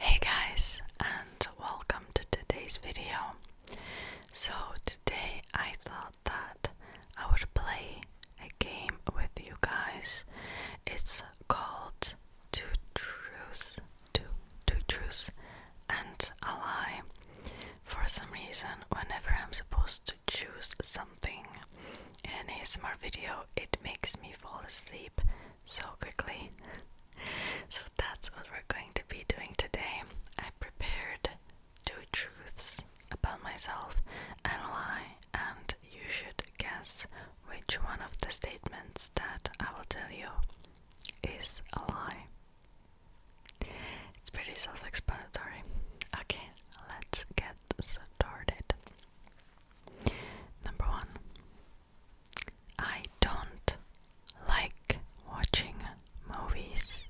Hey guys and welcome to today's video. So today I thought that I would play a game with you guys. It's called Two Truths, Two, two Truths and a Lie. For some reason, whenever I'm supposed to choose something in a smart video, it makes me fall asleep so quickly. so that's what we're going to be doing today. I prepared two truths about myself and a lie, and you should guess which one of the statements that I will tell you is a lie. It's pretty self explanatory. Okay, let's get started. Number one, I don't like watching movies.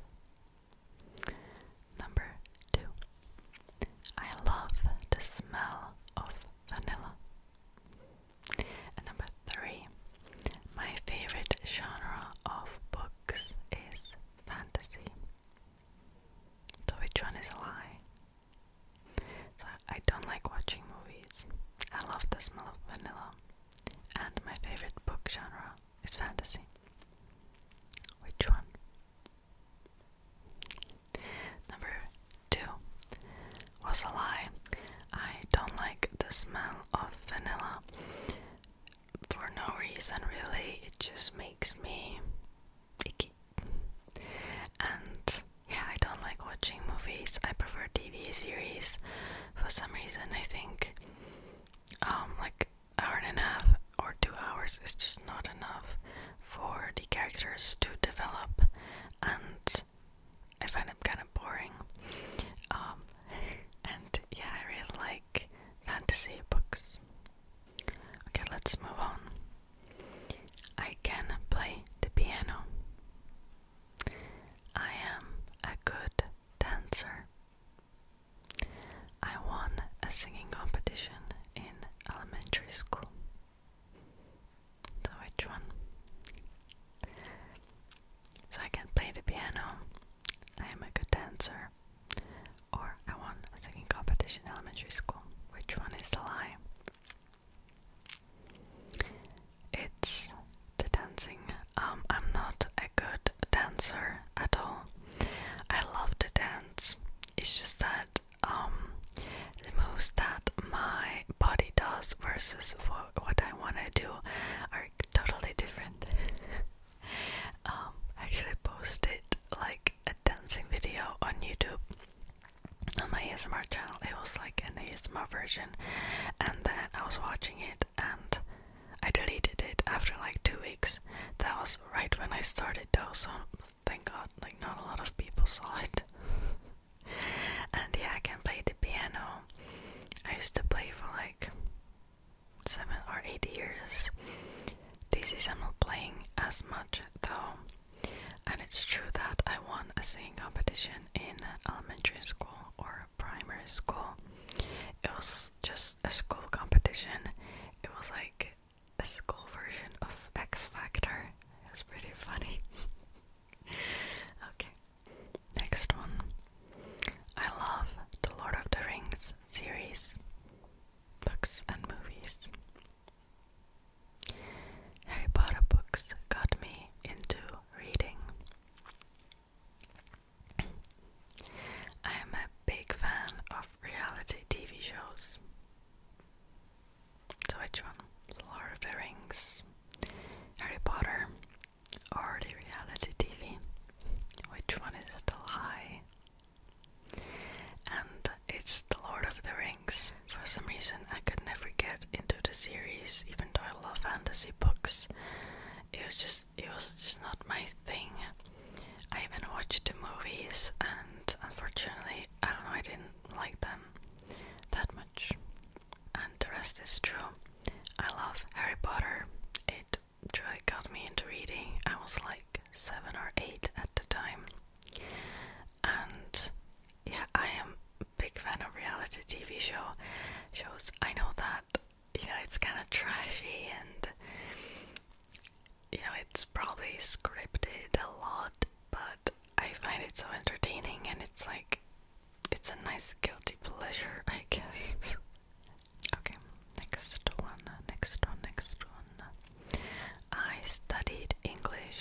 Number two, I love the smell of vanilla. number three, my favorite genre of books is fantasy. So, which one is a lie? So I don't like watching movies. I love the smell of vanilla. And my favorite book genre is fantasy. Which one? Number two was a lie. I don't like the smell of vanilla for no reason, really. It just makes me icky. And yeah, I don't like watching movies. I prefer TV series. For some reason, I think um like hour and a half or 2 hours is just not enough for the characters to develop and I find them kind of boring. Um and yeah, I really like fantasy books. Okay, let's move on. I can play the piano. I am a good dancer. I won a singing competition in elementary school. So, which one? So, I can play the piano, I am a good dancer, or I won a singing competition in elementary school. Which one is the lie? It's the dancing. Um, I'm not a good dancer at all. I love to dance. It's just that um, the moves that my body does versus what I want to do are totally different. Um, I actually posted like a dancing video on YouTube on my ASMR channel. It was like an ASMR version, and then I was watching it and I deleted it after like two weeks. That was right when I started though, so thank God, like not a lot of people saw it. and yeah, I can play the piano. I used to play for like seven or eight years. These days I'm not playing as much though. And it's true that I won a singing competition in elementary school or primary school. It was just a school competition. It was like a school version of X Factor. It was pretty funny. okay. Next one. I love the Lord of the Rings series, books and movies. Harry Potter books got me into reading. I am a big fan of reality TV shows. So, which one? Lord of the Rings, Harry Potter, or the reality TV? Which one is still high? And it's The Lord of the Rings. For some reason, I could never get into the series, even though I love fantasy books. It was just, it was just not my thing. I even watched the movies, and unfortunately, I don't know, I didn't like them that much. And the rest is true. I love Harry Potter. It truly got me into reading. I was like seven or eight at the time and yeah, I am a big fan of reality TV show shows. I know that you know it's kind of trashy and you know it's probably scripted a lot, but I find it so entertaining and it's like it's a nice guilty pleasure, I guess. okay, next one, next one, next one. I studied English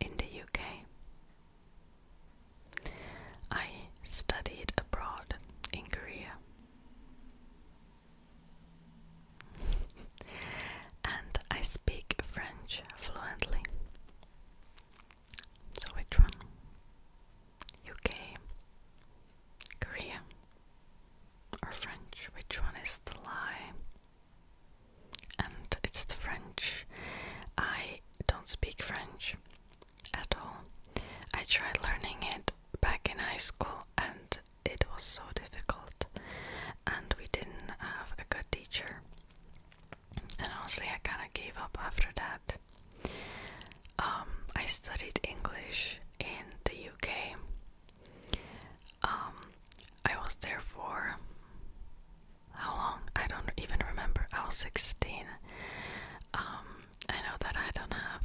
in the UK. I studied abroad in Korea. and I speak French fluently. So, which one? UK, Korea, or French? Which one is the lie? and it's the French. I don't speak French at all. I tried learning it back in high school and it was so difficult, and we didn't have a good teacher. And honestly, I kind of gave up after that. Um, I studied English in the UK. Um, I was there for how long? I don't even remember. I was 16. Um, I know that I don't have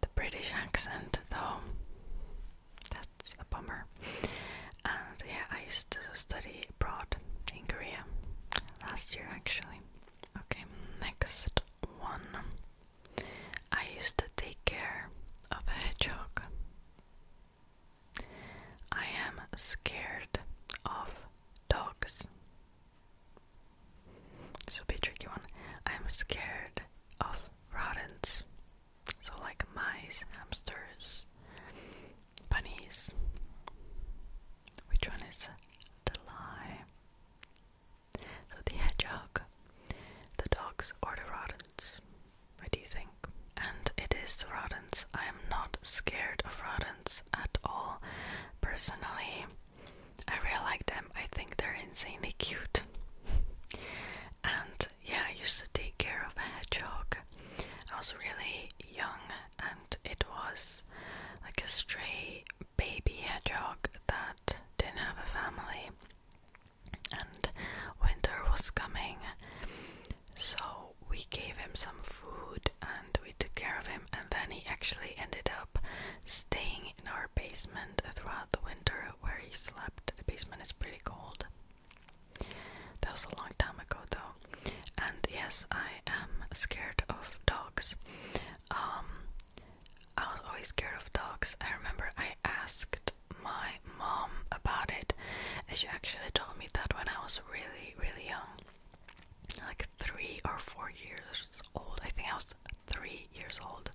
the British accent though. That's a bummer. And yeah, I used to study abroad in Korea last year actually. Okay, next one. I used to take care of a hedgehog. I am scared of dogs. This will be a tricky one. I'm scared of rodents. So, like mice, hamsters, bunnies. Which one is the lie? So, the hedgehog, the dogs, or the rodents? What do you think. And it is rodents. I am not scared of rodents at all. Personally, I really like them. I think they're insanely cute. and yeah, I used to take care of a hedgehog. I was really young, and it was like a stray baby hedgehog that didn't have a family and winter was coming, so we gave him some food and we took care of him. And then he actually ended up staying in our basement throughout the winter where he slept. The basement is pretty cold. That was a long time ago, though. And yes, I am scared of dogs. Um, I was always scared of dogs. I remember I asked my mom about it, and she actually told me that when I was really, really young like three or four years old, I think I was three years old,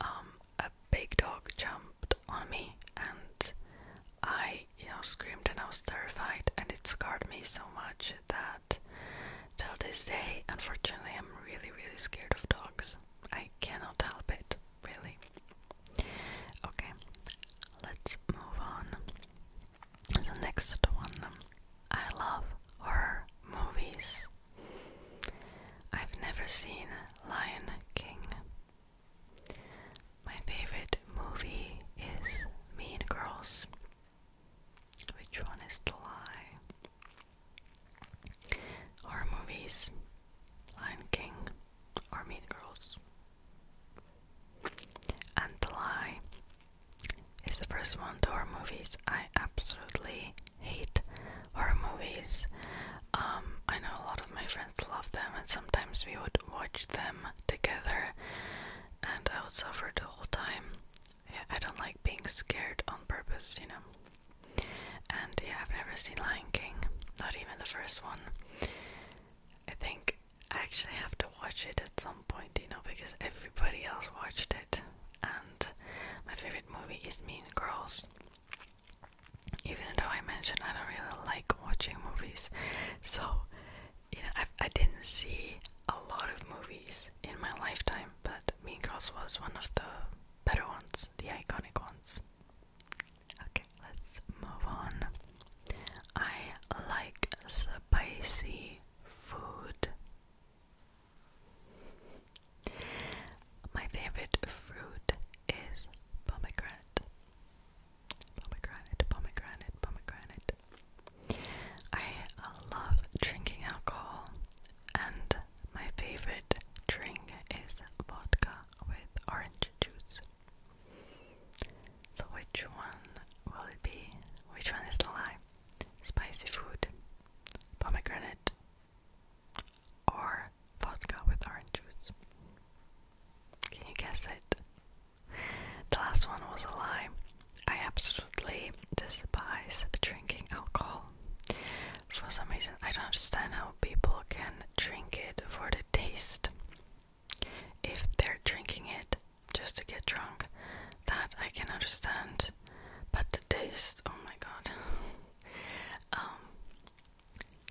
um, a big dog jumped on me and I, you know, screamed and I was terrified, and it scarred me so much that till this day, unfortunately, I'm really, really scared of dogs. I cannot help it really. Okay, let's move on. The next one. I love horror movies. I've never seen Lion King. My favorite movie is Mean Girls. Which one is the lie? Horror movies, Lion King, are Mean Girls. And The Lie is the first one to horror movies. I absolutely hate horror movies. Um, I know a lot of my friends love them, and sometimes we would watch them together, and I would suffer the whole time. Yeah, I don't like being scared on purpose, you know. And yeah, I've never seen Lion King, not even the first one. I think I actually have to watch it at some point, you know, because everybody else watched it. And my favorite movie is Mean Girls. Even though I mentioned I don't really like watching movies, so you know, I didn't see a lot of movies in my lifetime, but Mean Girls was one of the better ones, the iconic ones. Okay, let's move on. I like spicy food. My favorite fruit is pomegranate. Pomegranate, pomegranate, pomegranate. I love drinking alcohol, and my favorite drink is vodka with orange juice. So which one will it be? Which one is the lie? Spicy food, pomegranate, or vodka with orange juice? Can you guess it? The last one was a lie. I absolutely despise drinking alcohol. For some reason, I don't understand how people can drink it for the taste. If they're drinking it just to get drunk, that I can understand. But the taste, oh my god. um,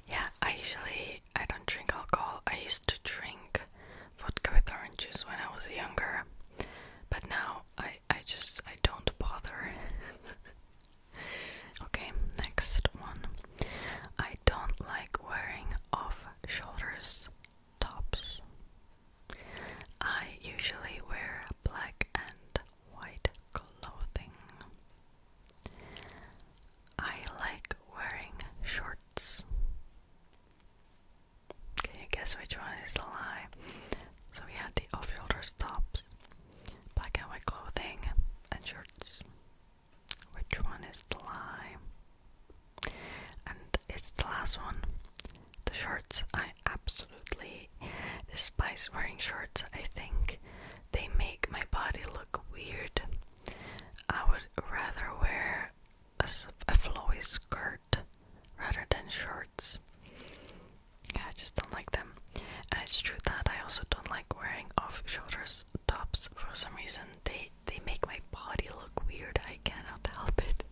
yeah, I usually I don't drink alcohol. I used to drink vodka with orange juice when I was younger, but now I I just I don't bother. Okay, next one. I don't like wearing off shoulders tops. I usually wear black and white clothing. I like wearing shorts. Can you guess which one is a lie? So we had the off shoulders tops, black and white clothing, and shorts. Which one is the lie? And it's the last one. The shorts. I absolutely despise wearing shorts. I think they make my body look weird. I would rather wear a, flowy skirt rather than shorts. Yeah, I just don't like them and it's true that I also don't like wearing off-shoulders tops for some reason. They they make my body look weird. I cannot help it.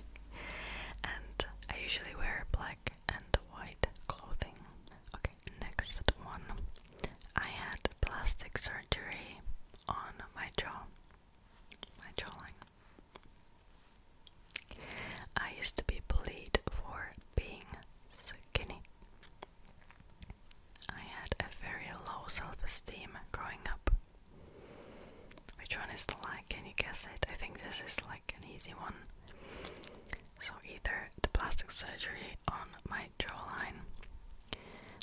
and I usually wear black and white clothing. Okay, next one. I had plastic surgery on my jaw, my jawline. I used to be bullied for being skinny. I had a very low self esteem growing up. Which one is the like? Can you guess it? I think this is like an easy one. So, either the plastic surgery on my jawline,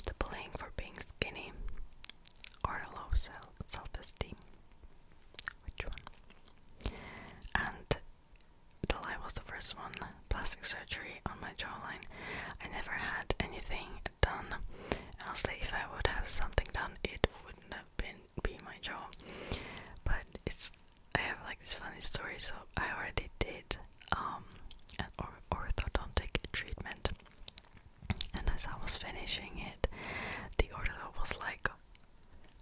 the bullying for being skinny, or a low self esteem. Which one? And the lie was the first one. Plastic surgery on my jawline. I never had anything done. Honestly, if I would have something done, it wouldn't have been be my jaw. But it's I have like this funny story. So I already did um orthodontic treatment, and as I was finishing it, the ortho was like,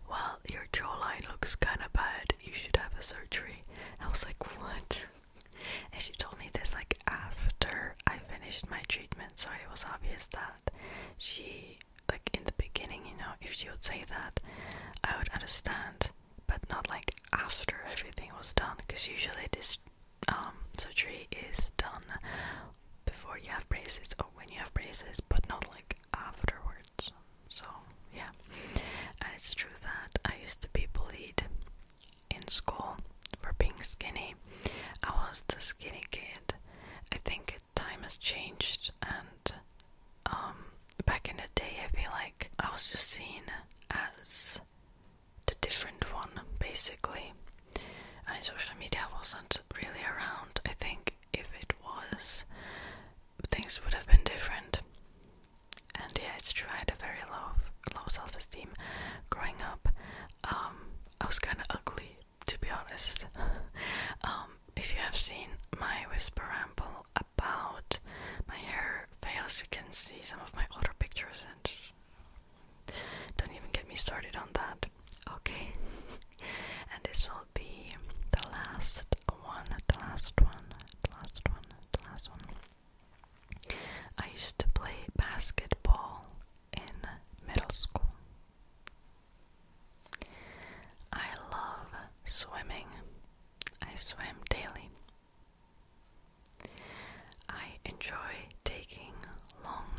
"Well, your jawline looks kind of bad." you should have a surgery. I was like, what? And she told me this like after I finished my treatment, so it was obvious that she like in the beginning, you know, if she would say that, I would understand, but not like after everything was done, because usually this um, surgery is done before you have braces or when you have braces, but not like afterwards. So, yeah. And it's true that I used to be bullied in school for being skinny. I was the skinny kid. I think time has changed, and um, back in the day, I feel like I was just seen as the different one, basically. And social media wasn't really around. I think if it was, things would have been different. And yeah, it's true. I had a very low, low self-esteem growing up. Um, I was kind of ugly, to be honest. um, if you have seen my whisper ramble about my hair fails, you can see some of my older pictures, and don't even get me started on that. Okay. and this one will be the last one, the last one, the last one, the last one. I used to play basketball in middle school. I love swimming. I swim daily. I enjoy taking long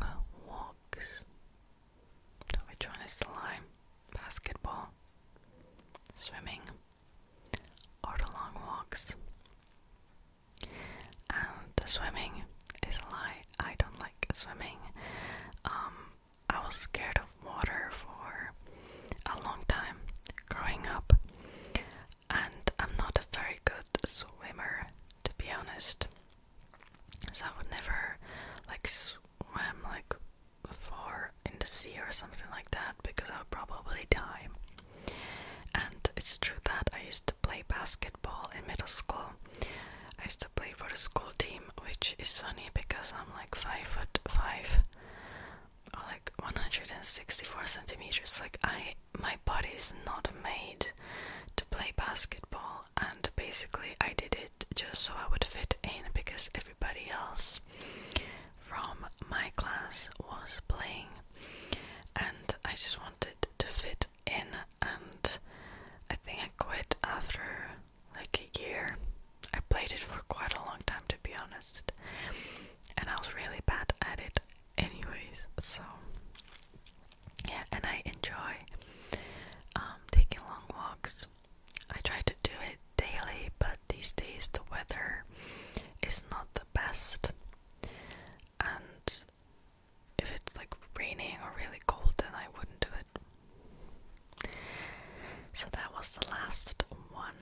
walks. So which one is the lie? Basketball, swimming, or the long walks. And um, the swimming is a lie. I don't like swimming. Um, I was scared of water for a long time growing up, and I'm not a very good swimmer, to be honest. So I would never like swim like far in the sea or something like that because I would probably die. And it's true that I used to play basketball in middle school. I used to play for the school team, which is funny because I'm like five foot five, or like 164 centimeters. Like I, my body is not made to play basketball, and basically I did it just so I would fit in because everybody else from my class was playing and I just wanted to fit in and I think I quit after like a year. I played it for quite a long time to be honest. And I was really bad at it anyways. So yeah, and I enjoy um, taking long walks I try to do it daily, but these days the weather is not the best. And if it's like raining or really cold, then I wouldn't do it. So that was the last one.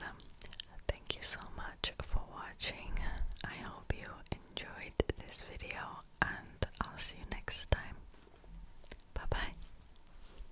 Thank you so much for watching. I hope you enjoyed this video, and I'll see you next time. Bye bye.